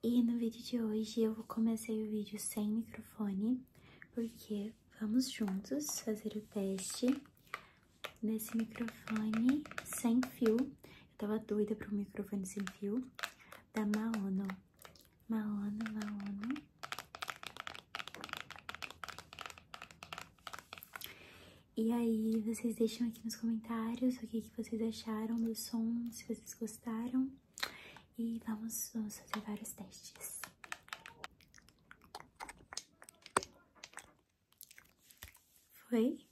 E no vídeo de hoje eu comecei o vídeo sem microfone, porque vamos juntos fazer o teste nesse microfone sem fio. Eu tava doida pro microfone sem fio da Maono. Maono, Maono. E aí, vocês deixam aqui nos comentários o que, que vocês acharam do som, se vocês gostaram. E vamos, vamos fazer vários testes. Foi?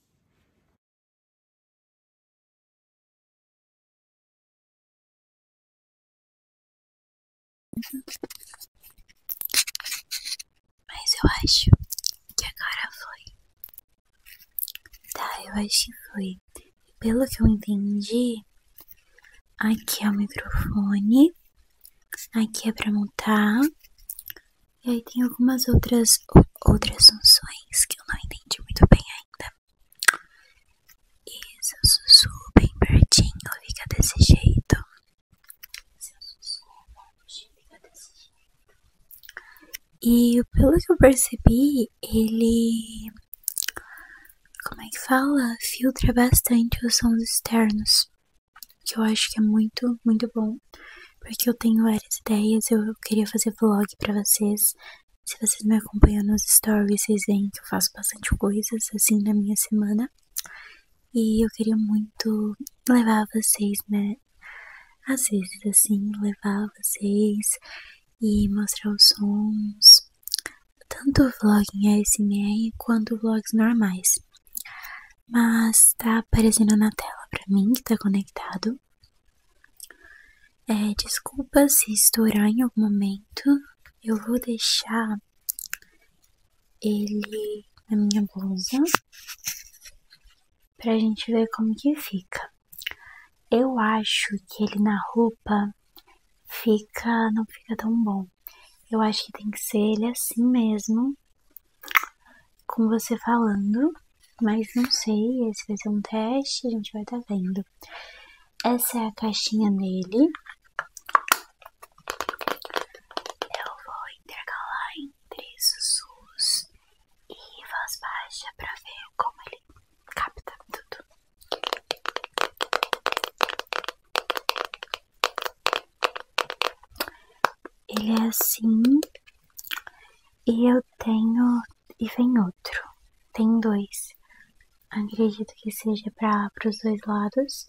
Mas eu acho que agora foi. Tá, eu acho que foi. Pelo que eu entendi, aqui é o microfone, aqui é para montar, e aí tem algumas outras, outras funções que eu não entendi muito bem ainda. E se eu sussurro bem pertinho, fica desse jeito. Se eu sussurro, fica desse jeito. E pelo que eu percebi, ele. Como é que fala? Filtra bastante os sons externos. Que eu acho que é muito, muito bom. Porque eu tenho várias ideias. Eu queria fazer vlog pra vocês. Se vocês me acompanham nos stories, vocês veem que eu faço bastante coisas assim na minha semana. E eu queria muito levar vocês né, às vezes, assim, levar vocês e mostrar os sons, tanto vlog em ASMR quanto vlogs normais. Mas tá aparecendo na tela pra mim que tá conectado. É, desculpa se estourar em algum momento, eu vou deixar ele na minha bolsa pra gente ver como que fica. Eu acho que ele na roupa fica, não fica tão bom. Eu acho que tem que ser ele assim mesmo, com você falando, mas não sei, esse vai ser um teste, a gente vai tá vendo. Essa é a caixinha dele. Eu vou intercalar em três sussurros e voz baixa para ver como ele capta tudo. Ele é assim e eu tenho e vem outro. Tem dois. Acredito que seja para os dois lados.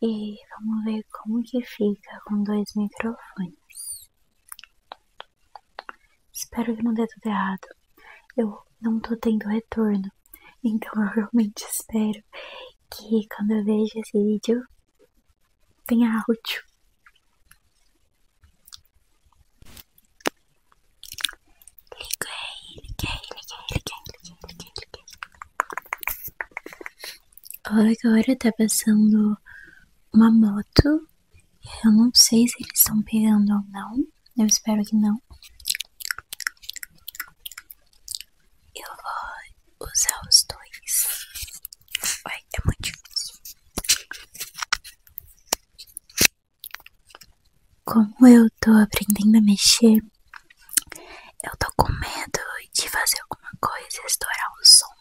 E vamos ver como que fica com dois microfones. Espero que não dê tudo errado. Eu não tô tendo retorno. Então eu realmente espero que quando eu vejo esse vídeo tenha áudio. Liguei, liguei, liguei, liguei, liguei, liguei, liguei. Agora tá passando uma moto. Eu não sei se eles estão pegando ou não. Eu espero que não. Eu vou usar os dois. Ai, é muito difícil. Como eu tô aprendendo a mexer eu tô com medo de fazer alguma coisa e estourar o som.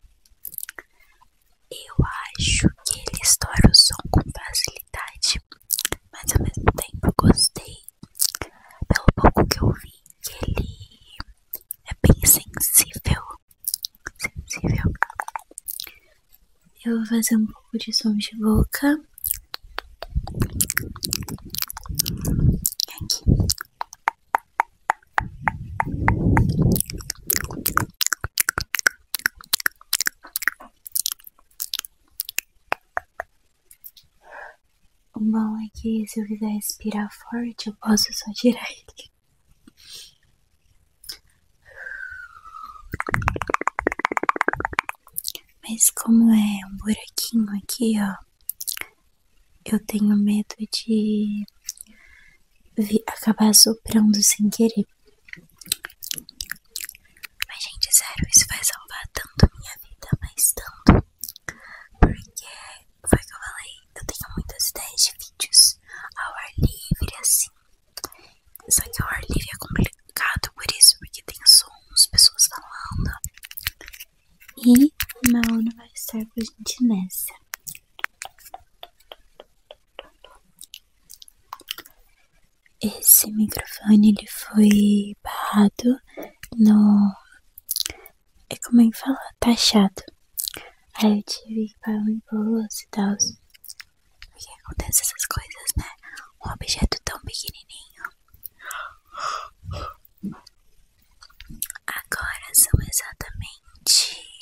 Eu acho que ele estoura o som com facilidade, mas ao mesmo tempo eu gostei, pelo pouco que eu vi, que ele é bem sensível. Sensível. Eu vou fazer um pouco de som de boca. O bom é que se eu quiser respirar forte, eu posso só tirar ele. Mas como é um buraquinho aqui, ó, eu tenho medo de acabar soprando sem querer. Mas, gente, sério, isso vai salvar tanto minha vida, mas tanto. Porque, foi o que eu falei, eu tenho muitas ideias de vídeos ao ar livre, assim. Só que o ar livre é complicado por isso, porque tem som as pessoas falando. E o meu vai estar com a gente nessa. Esse microfone ele foi barrado no. É como é que tá Taxado. Aí eu tive que pagar um imposto e tal. Porque acontece essas coisas, né? Um objeto tão pequenininho. Agora são exatamente.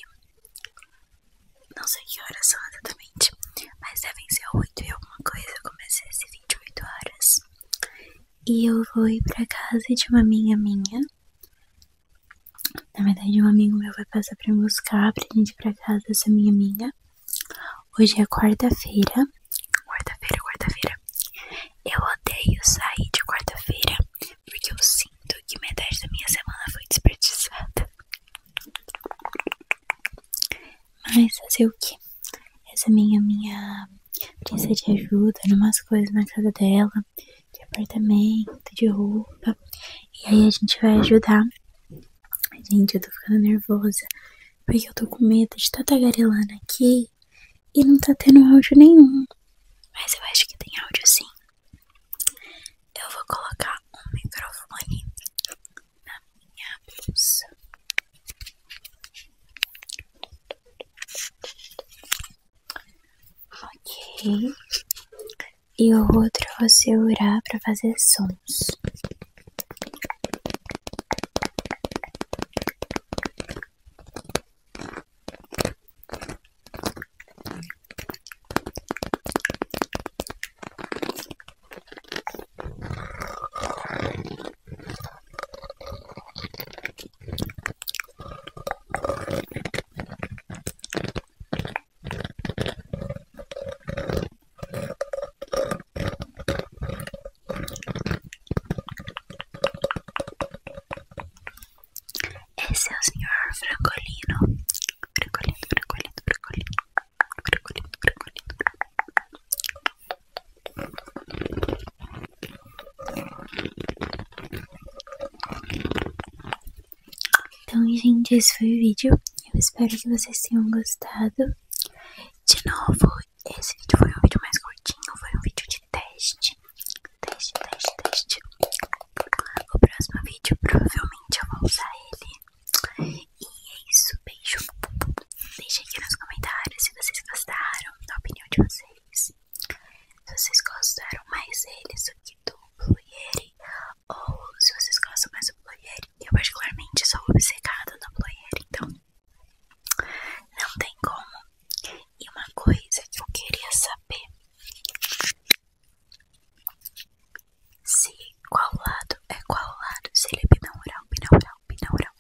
Não sei que horas são exatamente, mas devem ser 8 e alguma coisa. Eu comecei às 28 horas. E eu vou ir pra casa de uma minha minha. Na verdade, um amigo meu vai passar pra me buscar pra gente ir pra casa dessa minha minha. Hoje é quarta-feira. Quarta-feira, quarta-feira. Eu odeio sair de quarta-feira porque eu sinto que metade da minha semana foi desperdiçada. Mas fazer o que? Essa minha minha princesa de ajuda numas coisas na casa dela, de apartamento, de roupa. E aí a gente vai ajudar Gente, eu tô ficando nervosa. Porque eu tô com medo de estar tá tagarelando aqui e não tá tendo áudio nenhum. Mas eu acho que tem áudio sim. Eu vou colocar um microfone na minha bolsa. Ok e o outro você urá para fazer sons. Esse é o senhor Francolino. Francolino, Francolino, Francolino. Francolino, Francolino. Então, gente, esse foi o vídeo. Eu espero que vocês tenham gostado. De novo, esse vídeo foi um vídeo mais curtinho, foi um vídeo de teste. Teste, teste, teste. O próximo vídeo, provavelmente eu vou usar ele. E é isso, beijo. Deixa aqui nos comentários se vocês gostaram da opinião de vocês. Se vocês gostaram mais deles do que do Blue Yeti, ou se vocês gostam mais do Blue Yeti, eu particularmente sou obcecada no Blue Yeti, então não tem como. E uma coisa que eu queria saber se qual lado é qual lado, se ele é binaural, binaural, binaural.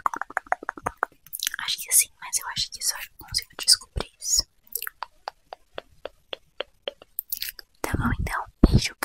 Acho que sim, mas eu acho que só consigo descobrir isso. Tá bom então, beijo.